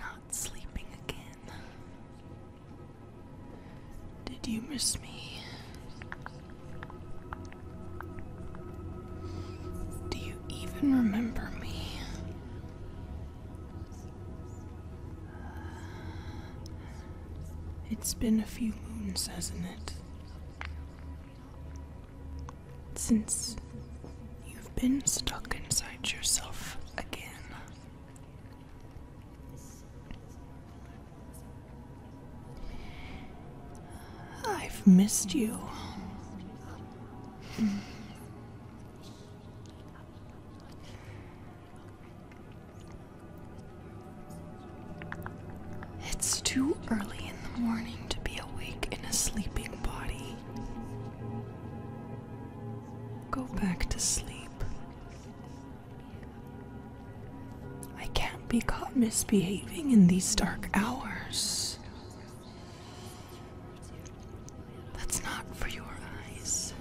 Not sleeping again. Did you miss me? Do you even remember me? It's been a few moons, hasn't it? Since you've been stuck inside yourself again. I've missed you. It's too early in the morning to be awake in a sleeping body. Go back to sleep. I can't be caught misbehaving in these dark hours. That's not for your eyes.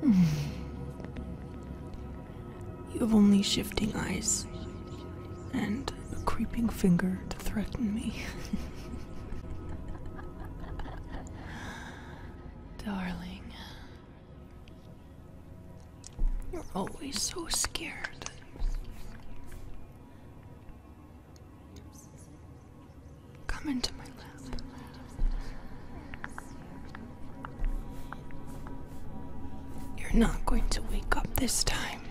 Hmm. You have only shifting eyes and a creeping finger to threaten me. Darling, you're always so scared. Come into my lap. You're not going to wake up this time.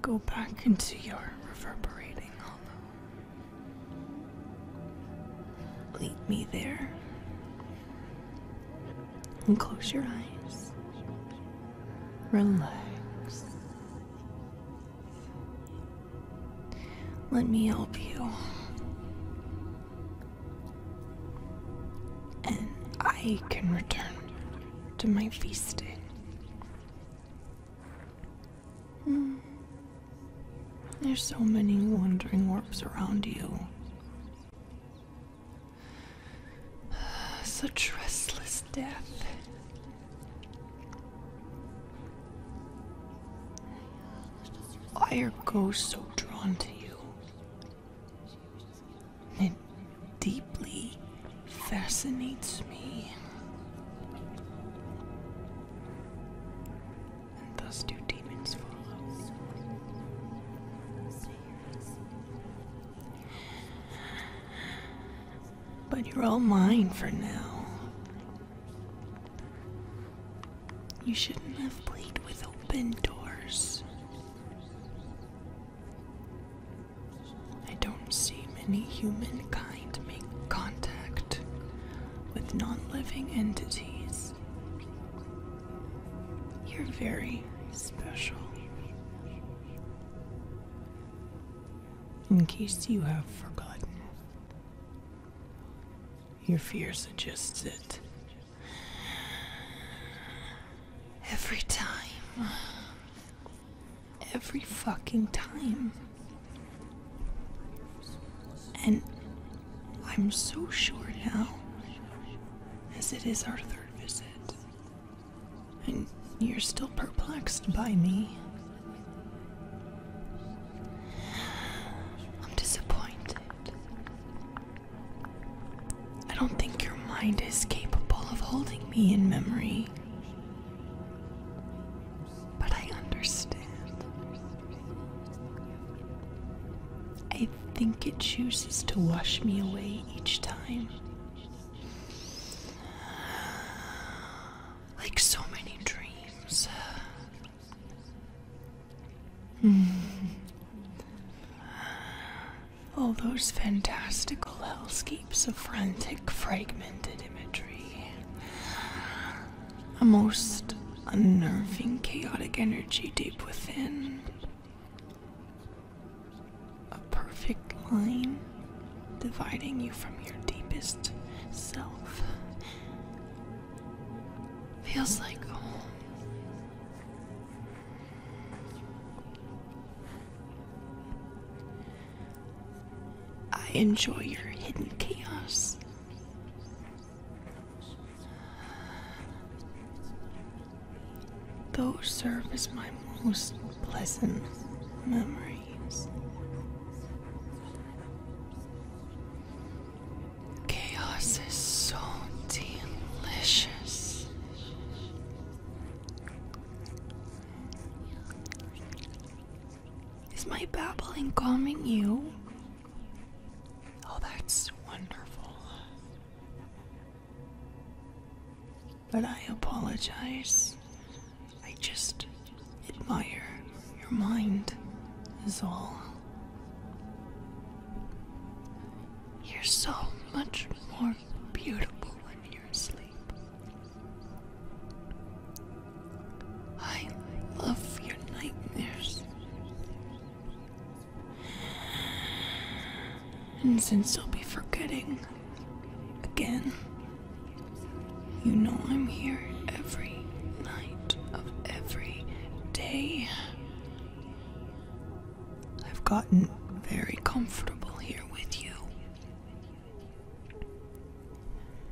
Go back into your reverberating hollow. Lead me there. And close your eyes. Relax. Let me help you and I can return to my feast. Hmm. There's so many wandering orbs around you. Such restless death. Why are ghosts so drawn to you? It deeply fascinates me. And thus do demons follow. But you're all mine for now. You shouldn't have played with open doors. I don't see many humankind make contact with non living entities. You're very special. In case you have forgotten, your fear suggests it. Every time. Every fucking time. And I'm so sure now, as it is our third visit. And you're still perplexed by me. I'm disappointed. I don't think your mind is capable of holding me in memory. But I understand. I think it chooses to wash me away each time. Like so many dreams, Hmm. All those fantastical hellscapes of frantic, fragmented imagery. A most unnerving, chaotic energy deep within. A perfect line dividing you from your deepest self. Feels like I enjoy your hidden chaos. Those serve as my most pleasant memories. Chaos is so delicious. Is my babbling calming you? Oh, that's wonderful. But I apologize. I just admire your mind, is all. You're so much more beautiful when you're asleep. I love your nightmares. And since you'll be forgetting again, you know I'm here every night of every day I've gotten very comfortable here with you.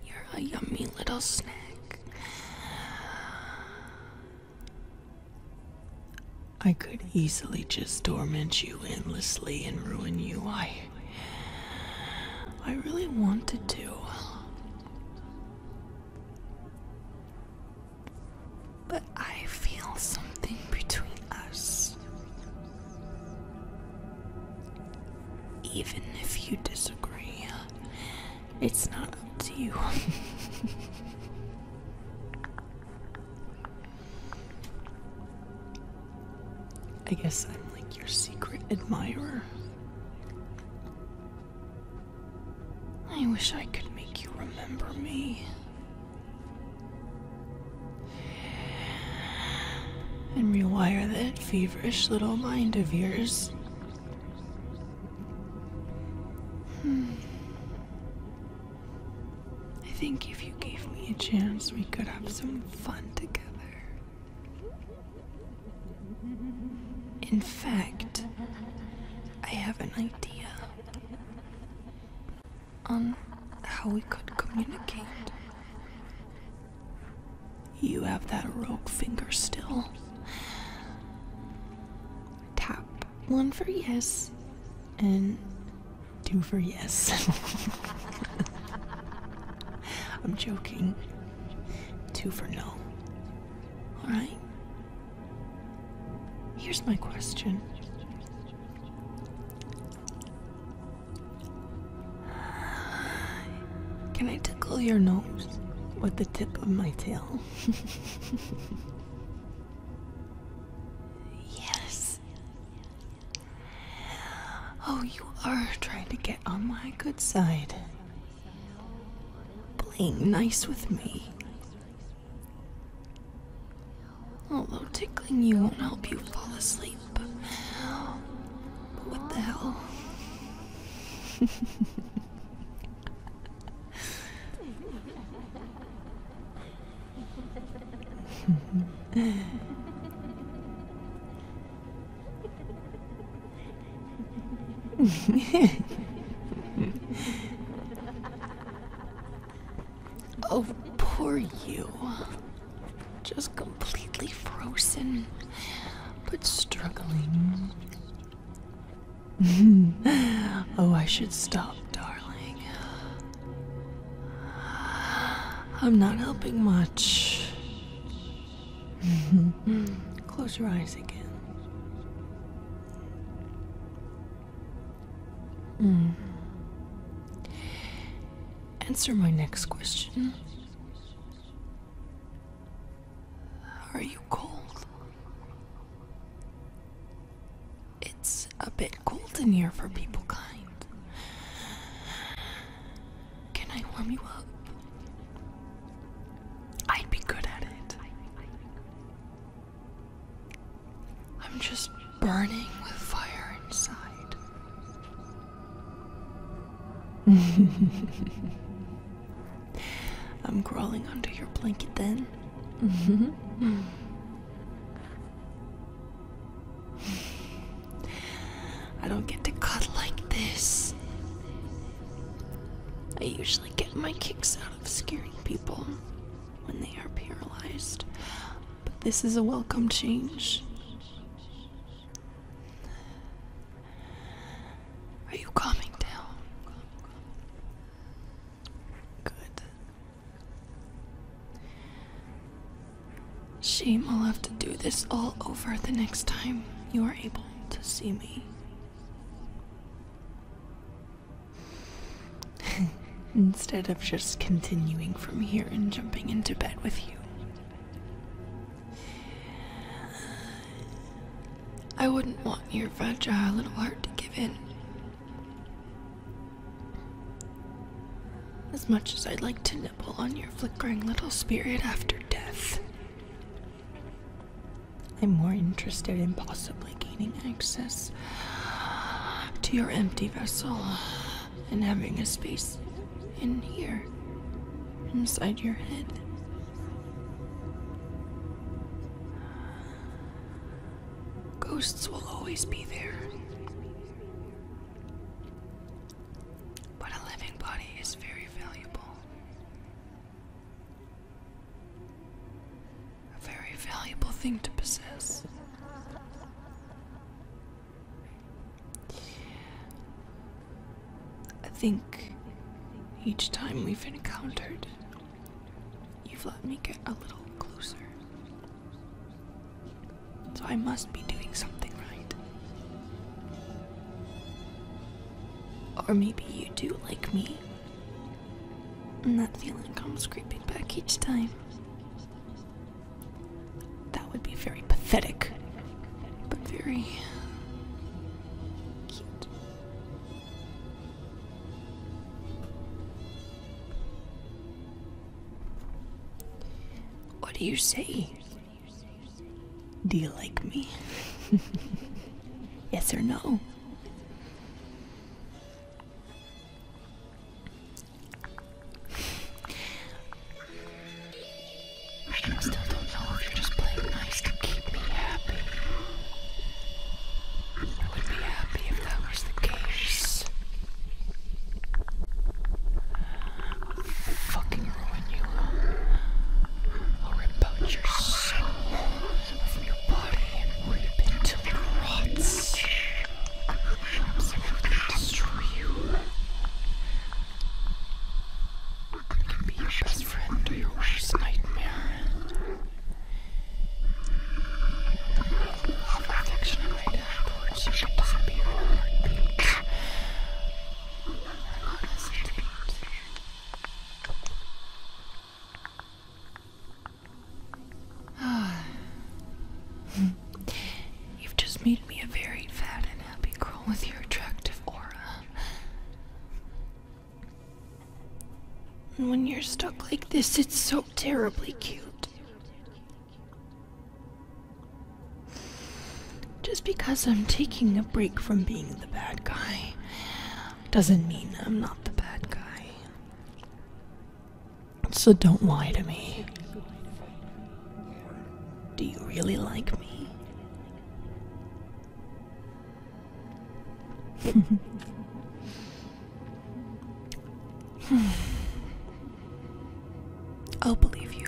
You're a yummy little snack. I could easily just torment you endlessly and ruin you. I I really wanted to. But I feel something between us. Even if you disagree, it's not up to you. I guess I'm like your secret admirer. I wish I could make you remember me. And rewire that feverish little mind of yours. Hmm. I think if you gave me a chance, we could have some fun together. In fact, I have an idea on how we could communicate. You have that rogue finger still. Tap one for yes and two for yes. I'm joking. Two for no. Alright? Here's my question. Can I tickle your nose with the tip of my tail? yes. Oh, you are trying to get on my good side playing nice with me. Although tickling you won't help you fall asleep. what the hell? oh, poor you. Just completely frozen, but struggling. oh, I should stop, darling. I'm not helping much. Close your eyes again. Hmm. Answer my next question. Are you cold? It's a bit cold in here for people kind. Can I warm you up? I'd be good at it. I'm just burning with fire inside. I'm crawling under your blanket then. I don't get to cut like this. I usually get my kicks out of scaring people when they are paralyzed, but this is a welcome change. Are you calming down? Good. Shame I'll have to do this all over the next time you are able to see me. Instead of just continuing from here and jumping into bed with you. I wouldn't want your fragile little heart to give in. As much as I'd like to nibble on your flickering little spirit after death, I'm more interested in possibly gaining access to your empty vessel and having a space in here, inside your head. Ghosts will always be there. But a living body is very valuable. A very valuable thing to possess. I think each time we've encountered, you've let me get a little closer. So I must be doing something right. Or maybe you do like me. And that feeling comes creeping back each time. That would be very pathetic, but very cute. What do you say? Do you like me? yes or no? I still don't know if you're just playing nice to keep me happy. I would be happy if that was the case. fucking ruin you. I'll rip out your soul time your body rip until it rots. Absolutely destroy you. It can be your best friend or your worst nightmare. The affection I might have towards you can disappear in heartbeat. I won't hesitate. You've just made me a very fat and happy girl with your attractive aura. And when you're stuck like this, it's so terribly cute. Just because I'm taking a break from being the bad guy, doesn't mean I'm not the bad guy. So don't lie to me. Do you really like me? I'll believe you.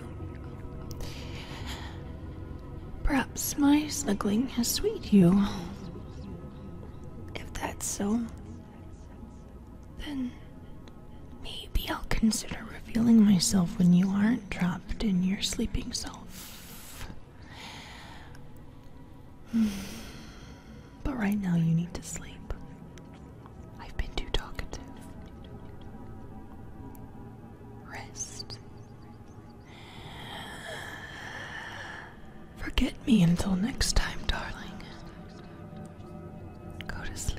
Perhaps my snuggling has sweet you. If that's so, then maybe I'll consider revealing myself when you aren't trapped in your sleeping self. But right now, you need to sleep. I've been too talkative. Rest. Forget me until next time, darling. Go to sleep.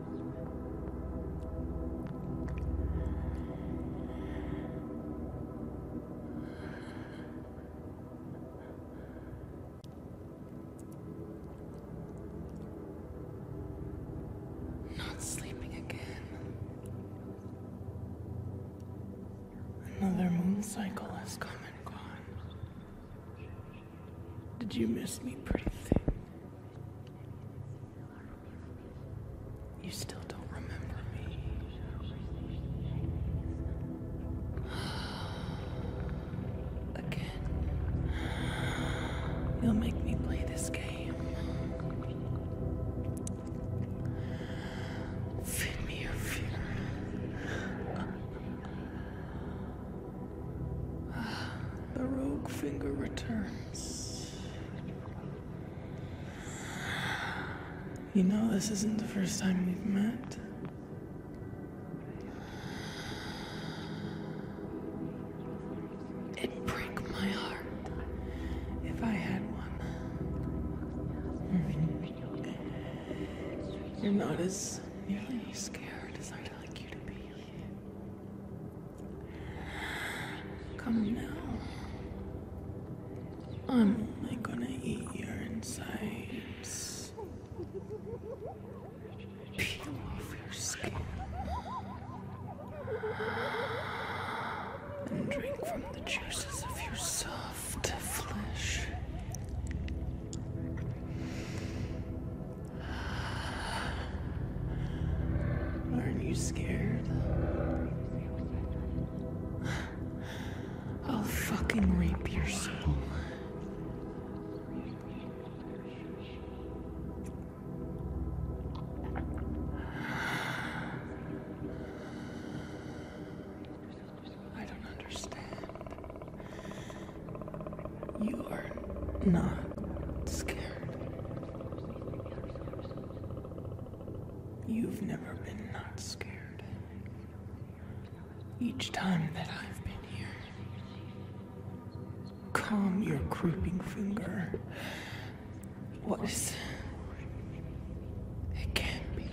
Not sleeping again. Another moon cycle has come and gone. Did you miss me, pretty thing? You still don't remember me. Again. You'll make me play this game. Feed me your fear. The rogue finger returns. You know, this isn't the first time we've met. It'd break my heart if I had one. You're not as nearly scared as I'd like you to be. Come now. I'm only gonna eat your insides. Peel off your skin. And drink from the juices of your soft flesh. Aren't you scared? I'll fucking rape your soul. I don't understand. You are not scared. You've never been not scared. Each time that I've been here, calm your creeping finger. What is. It can't be.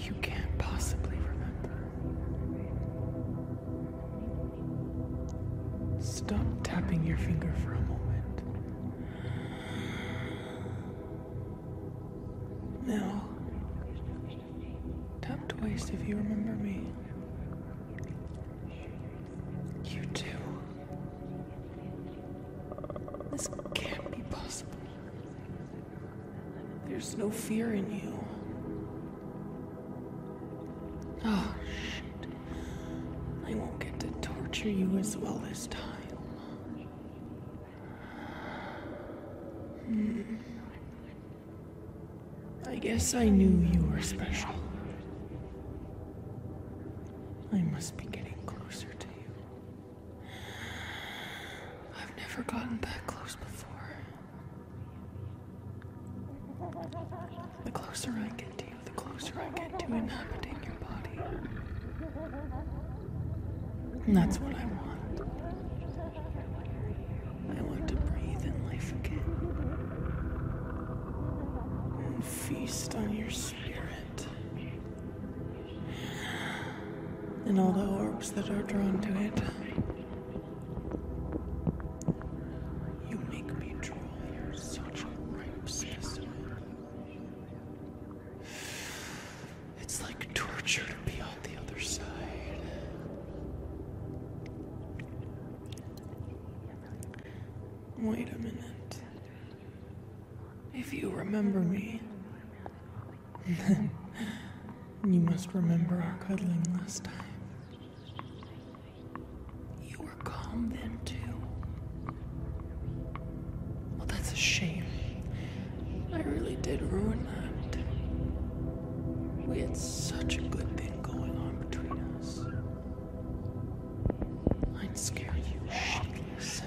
You can't possibly remember. Stop tapping your finger for a moment. Now, tap twice if you remember me. You too. This can't be possible. There's no fear in you. Oh, shit. I won't get to torture you as well this time. Hmm. I guess I knew you were special. I must be getting closer to you. I've never gotten that close before. The closer I get to you, the closer I get to inhabiting your body. And that's what I want. I want to breathe in life again. And feast on your spirit. And all the orbs that are drawn to it. You make me drool. such a It's like torture to be on the other side. Wait a minute. If you remember me, then you must remember our cuddling last time. You were calm then, too. Well, that's a shame. I really did ruin that. We had such a good thing going on between us. I'd scare you shitless.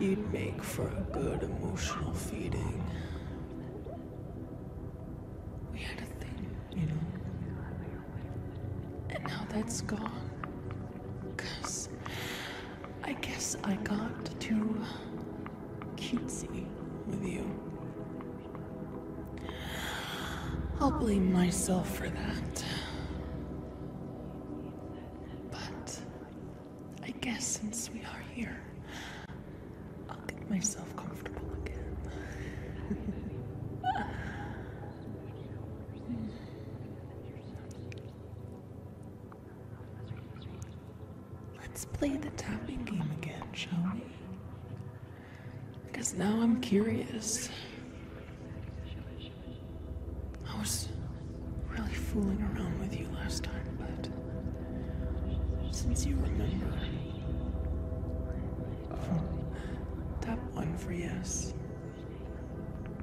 You'd make for a good emotional feeding. We had a thing you know? And now that's gone. Because I guess I got too cutesy with you. I'll blame myself for that. But I guess since we are here, I'll get myself. Let's play the tapping game again, shall we? Because now I'm curious. I was really fooling around with you last time, but since you remember, Top one for yes,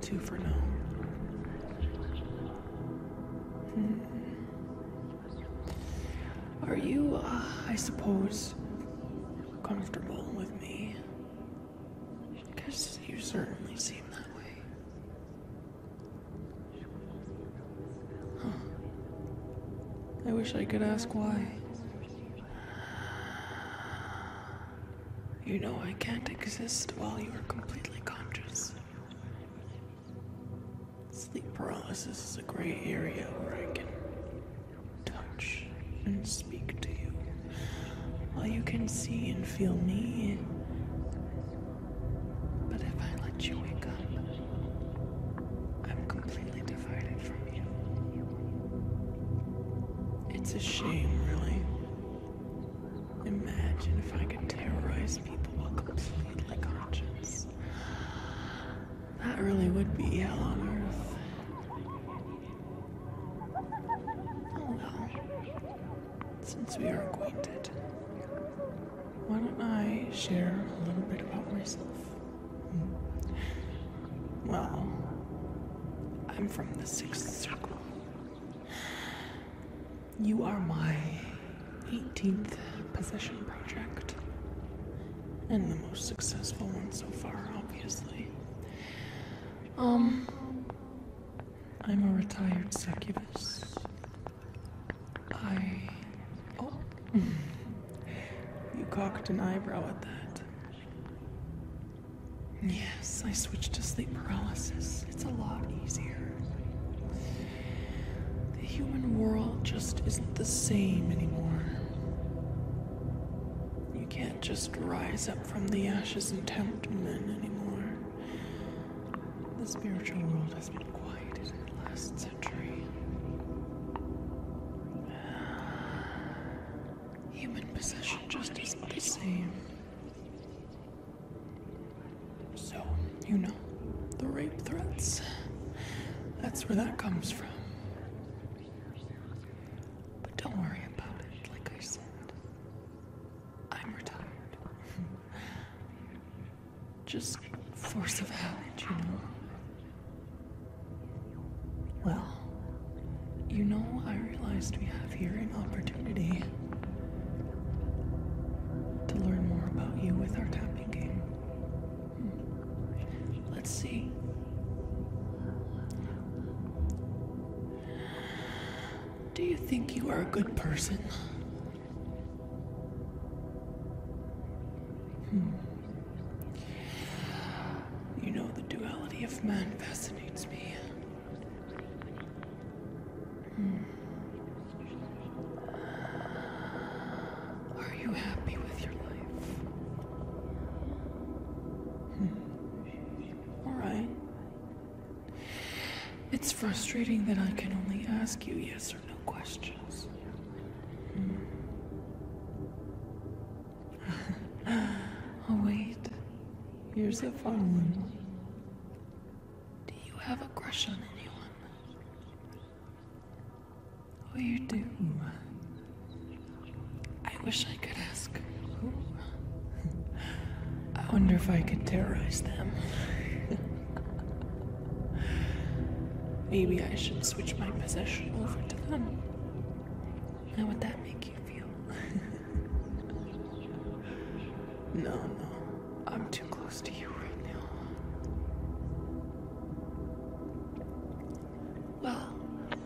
two for no. Hmm. Are you, uh, I suppose, comfortable with me? Because you certainly seem that way. I wish I could ask why. You know I can't exist while you are completely conscious. Sleep paralysis is a gray area where I can touch and speak to you while you can see and feel me. But if I let you wake up, I'm completely it's a shame, really. Imagine if I could terrorize people while completely conscious. That really would be hell on earth. Oh, well. Since we are acquainted, why don't I share a little bit about myself? Well, I'm from the sixth circle. You are my 18th possession project. And the most successful one so far, obviously. Um, I'm a retired succubus. I. Oh. you cocked an eyebrow at that. Yes, I switched to sleep paralysis. It's a lot easier. The human world just isn't the same anymore. You can't just rise up from the ashes and tempt men anymore. The spiritual world has been quieted in the last century. Human possession just isn't the same. So, you know, the rape threats. That's where that comes from. But don't worry about it, like I said. I'm retired. just force of habit, you know. Well, you know, I realized we have here an opportunity to learn more about you with our tapping game. Hmm. Let's see. Do you think you are a good person? Hmm. You know, the duality of man fascinates me. Hmm. Are you happy with your life? Hmm. All right. It's frustrating that I can only ask you yes or no questions. Hmm. oh, wait. Here's the fun one. Do you have a crush on anyone? Oh, you do. I wish I could ask who. I wonder if I could terrorize them. Maybe I should switch my position over to them. How would that make you feel? no, no. I'm too close to you right now. Well,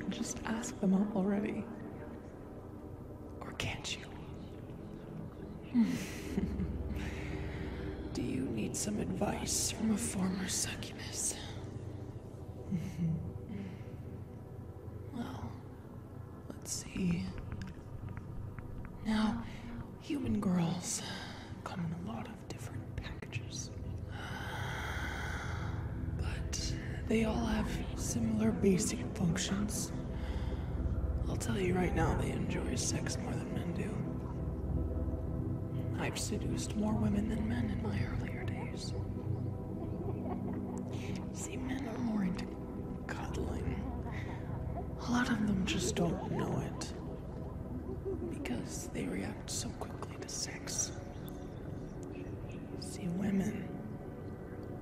just ask them up already. Or can't you? Do you need some advice from a former succubus? well, let's see. Now, human girls come in a lot of different packages. But they all have similar basic functions. I'll tell you right now, they enjoy sex more than men do. I've seduced more women than men in my earlier days. See, men are more into cuddling. A lot of them just don't know it. Because they react so quickly to sex. See, women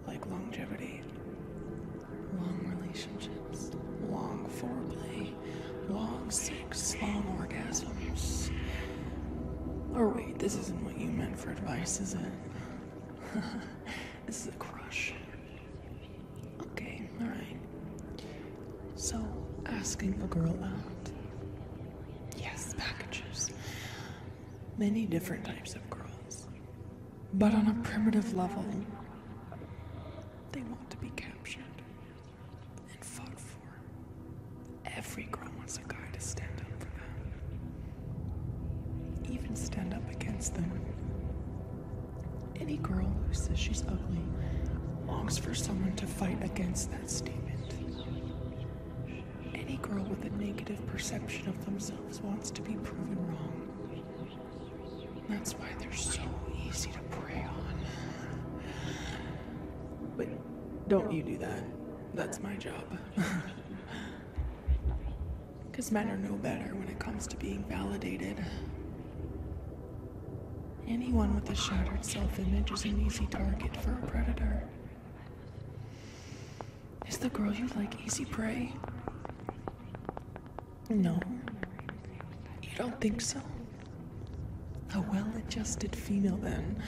like longevity, long relationships, long foreplay, long sex, long orgasms. Or wait, this isn't what you meant for advice, is it? this is a crush. Okay, alright. So, asking a girl out. Yes, packages. Many different types of girls. But on a primitive level, they want to be captured and fought for. Every girl wants a guy to stand up for them. Even stand up against them. Any girl who says she's ugly longs for someone to fight against that statement. Any girl with a negative perception of themselves wants to be proven wrong. That's why they're so easy to prey on. But don't you do that. That's my job. Because men are no better when it comes to being validated. Anyone with a shattered self image is an easy target for a predator. Is the girl you like easy prey? No. You don't think so? A well adjusted female, then.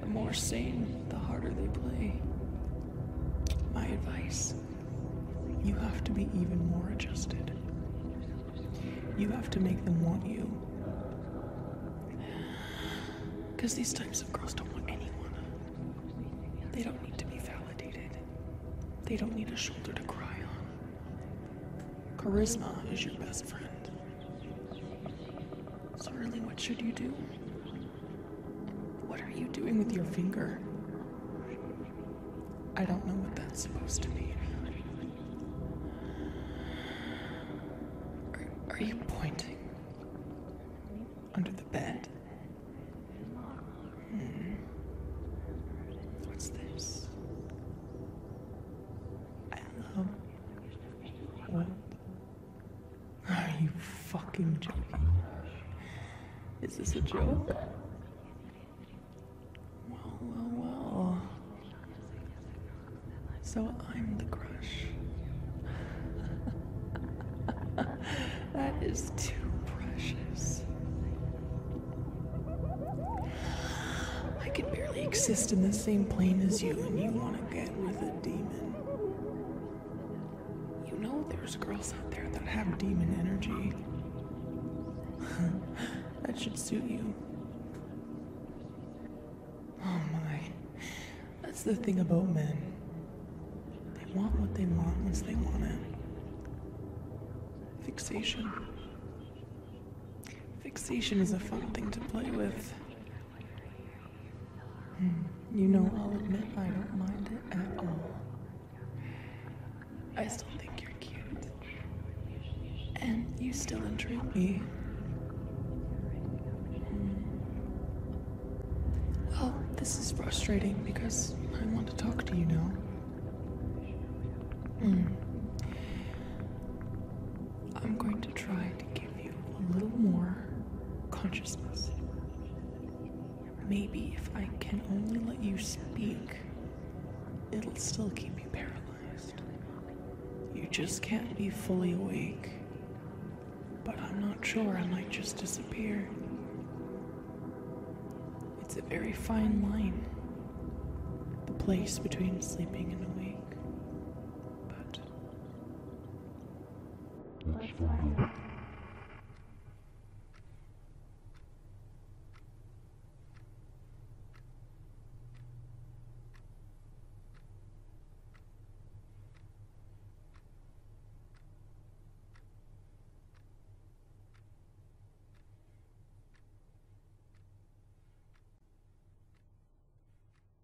The more sane, the harder they play. My advice you have to be even more adjusted. You have to make them want you. Because these types of girls don't want anyone. They don't need to be validated, they don't need a shoulder to cry on. Charisma is your best friend. So, really, what should you do? What are you doing with your finger? I don't know what that's supposed to mean. Are, you pointing? Under the bed? Hmm. What's this? Are you fucking joking? Is this a joke? Well, well, well. So I'm the crush. that is too precious. I can barely exist in the same plane as you, and you want to get with a demon. You know there's girls out there that have demon energy. that should suit you. Oh my. That's the thing about men. They want what they want once they want it. Fixation. Fixation is a fun thing to play with. Hmm, you know, I'll admit I don't mind it at all. I still think you're cute. And you still intrigue me. Hmm. Well, this is frustrating because I want to talk to you now. Hmm. I'm going to try to give you a little more consciousness. Maybe if I can only let you speak, it'll still keep you paralyzed. You just can't be fully awake. But I'm not sure, I might just disappear. It's a very fine line, the place between sleeping and awake. But that's fine.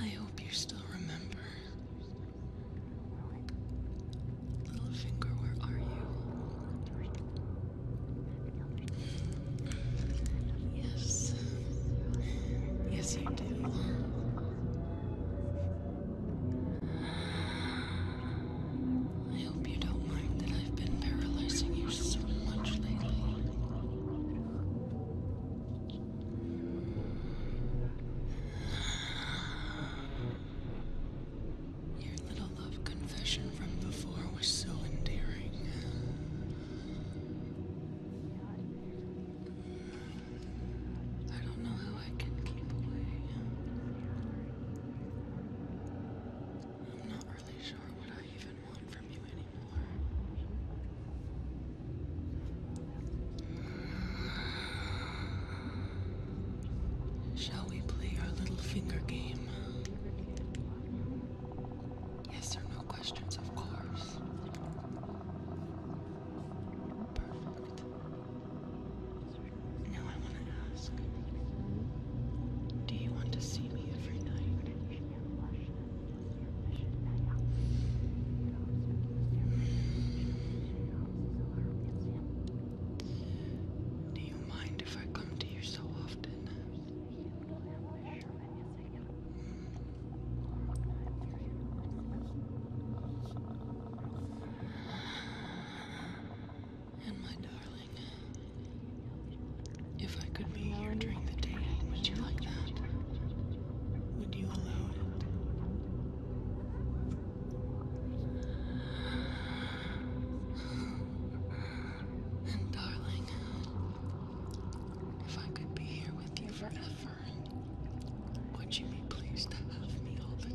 I hope you still remember Little finger, where are you? Yes. Yes, you do. I hope you don't mind that I've been paralyzing you so much lately. Your little love confession from before was so endearing. I don't know how I can keep away. I'm not really sure what I even want from you anymore. Shall we play our little finger game? Yes or no questions, of course. Perfect. Now I want to ask Do you want to see me every night? Do you mind if I come to you so often? And my darling, if I could be here during the day, would you like that? Would you allow it? And darling, if I could be here with you forever, would you be pleased to have me all the time?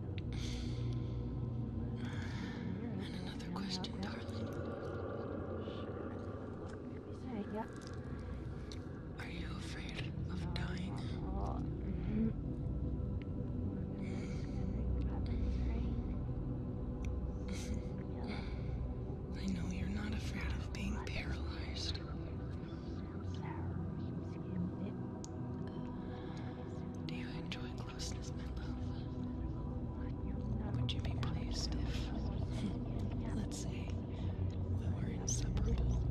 And another question, darling. Are you afraid of dying? I know you're not afraid of being paralyzed. Do you enjoy closeness, my love? Would you be pleased if, let's see, we were inseparable?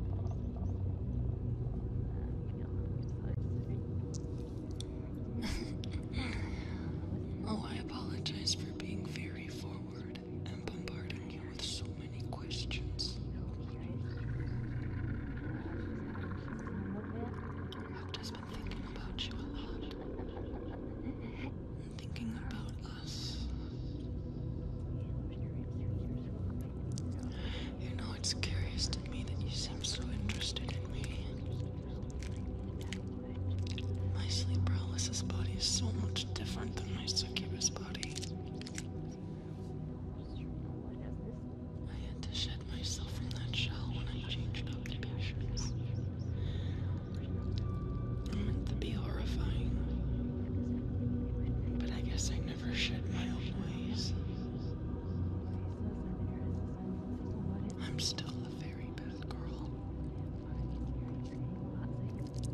oh, I apologize for being very forward and bombarding you with so many questions. I've just been thinking about you a lot. thinking about us. You know, it's curious to me that you seem so interested in me. My sleep paralysis body is so much different than my succubus body. I had to shed myself from that shell when I changed occupations. I meant to be horrifying. But I guess I never shed my own ways. I'm still the very bad girl.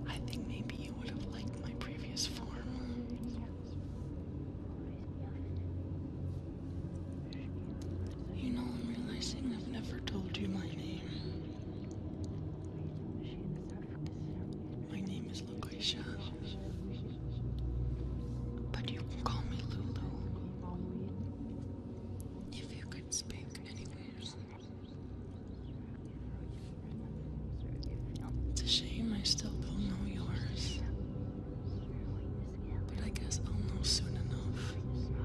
I think maybe you would have liked my previous form. You know, I'm realizing I've never told you my name. My name is Lucretia. But you call me Lulu. If you could speak anywhere. It's a shame I still don't know yours. But I guess I'll know soon enough. Hmm.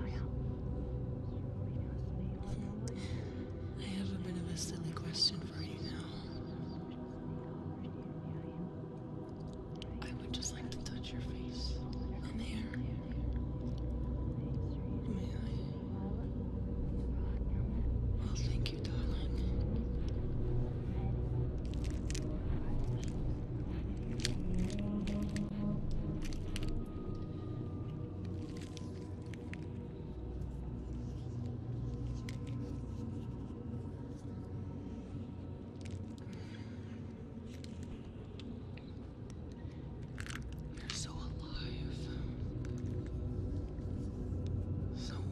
I have a bit of a silly question for you now. I would just like to touch your face and hair. May I? Well, thank you, darling. You're so alive. So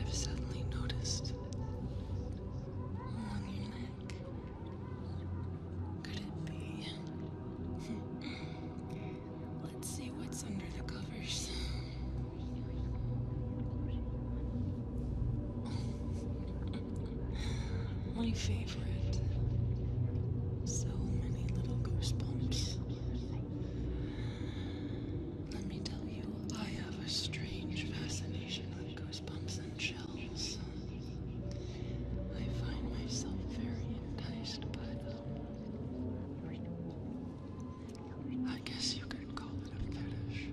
I've suddenly noticed along your neck. Could it be? Let's see what's under the covers. My favorite. So many little goosebumps. Let me tell you, I have a strange fascination with goosebumps and chills. I find myself very enticed by I guess you can call it a fetish.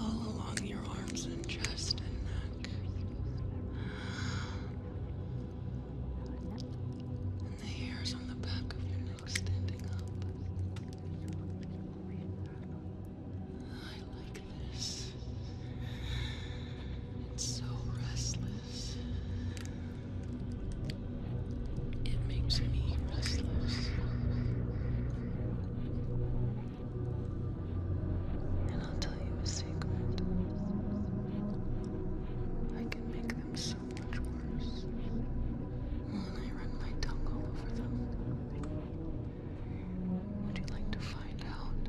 All along your arms and chest and neck. And the hairs on the back of your neck standing up. I like it's so restless. It makes me restless. And I'll tell you a secret. I can make them so much worse. When I run my tongue all over them. Would you like to find out?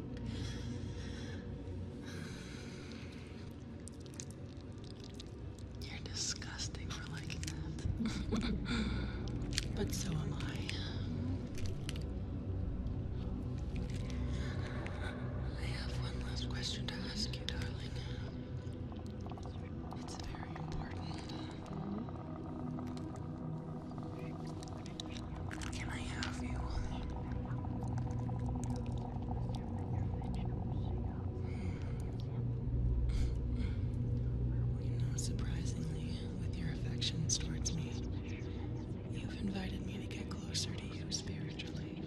You're disgusting for liking that. but so am I. I have one last question to ask you, darling. It's very important. I have you? Hmm. You know, surprisingly, with your affections towards me, you've invited me to get closer to you spiritually.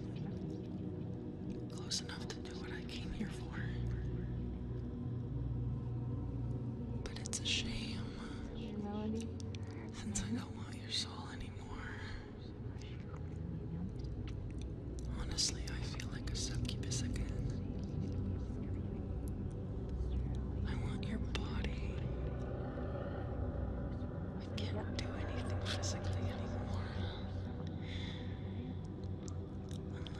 Close enough to do what I came here for. But it's a shame. Since I don't want anymore. Honestly, I feel like a succubus again. I want your body. I can't do anything physically anymore.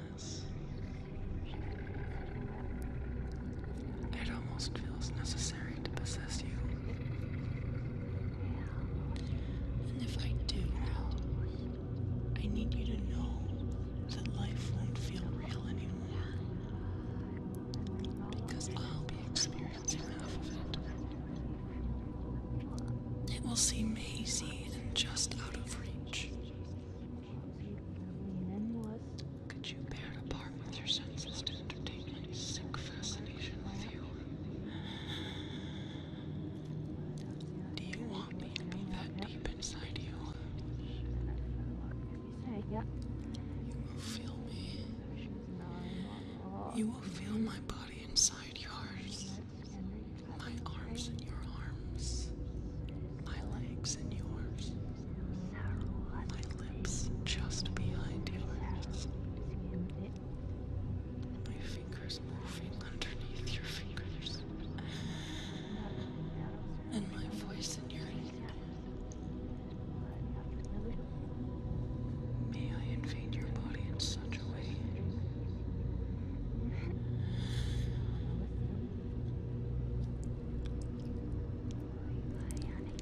Unless. It almost feels necessary to possess you. And if I do, I need you to know that life won't feel real anymore. Because I'll be experiencing half of it. It will seem hazy and just out of reach. Could you bear to part with your senses to entertain entertainment, sick fascination with you? Do you want me to be that deep inside you? You will feel me. You will feel my body inside yours. My arms in your arms. My legs in yours. My lips just behind yours. My fingers moving underneath your fingers. And my voice in your ear. May I invade your body in such a way?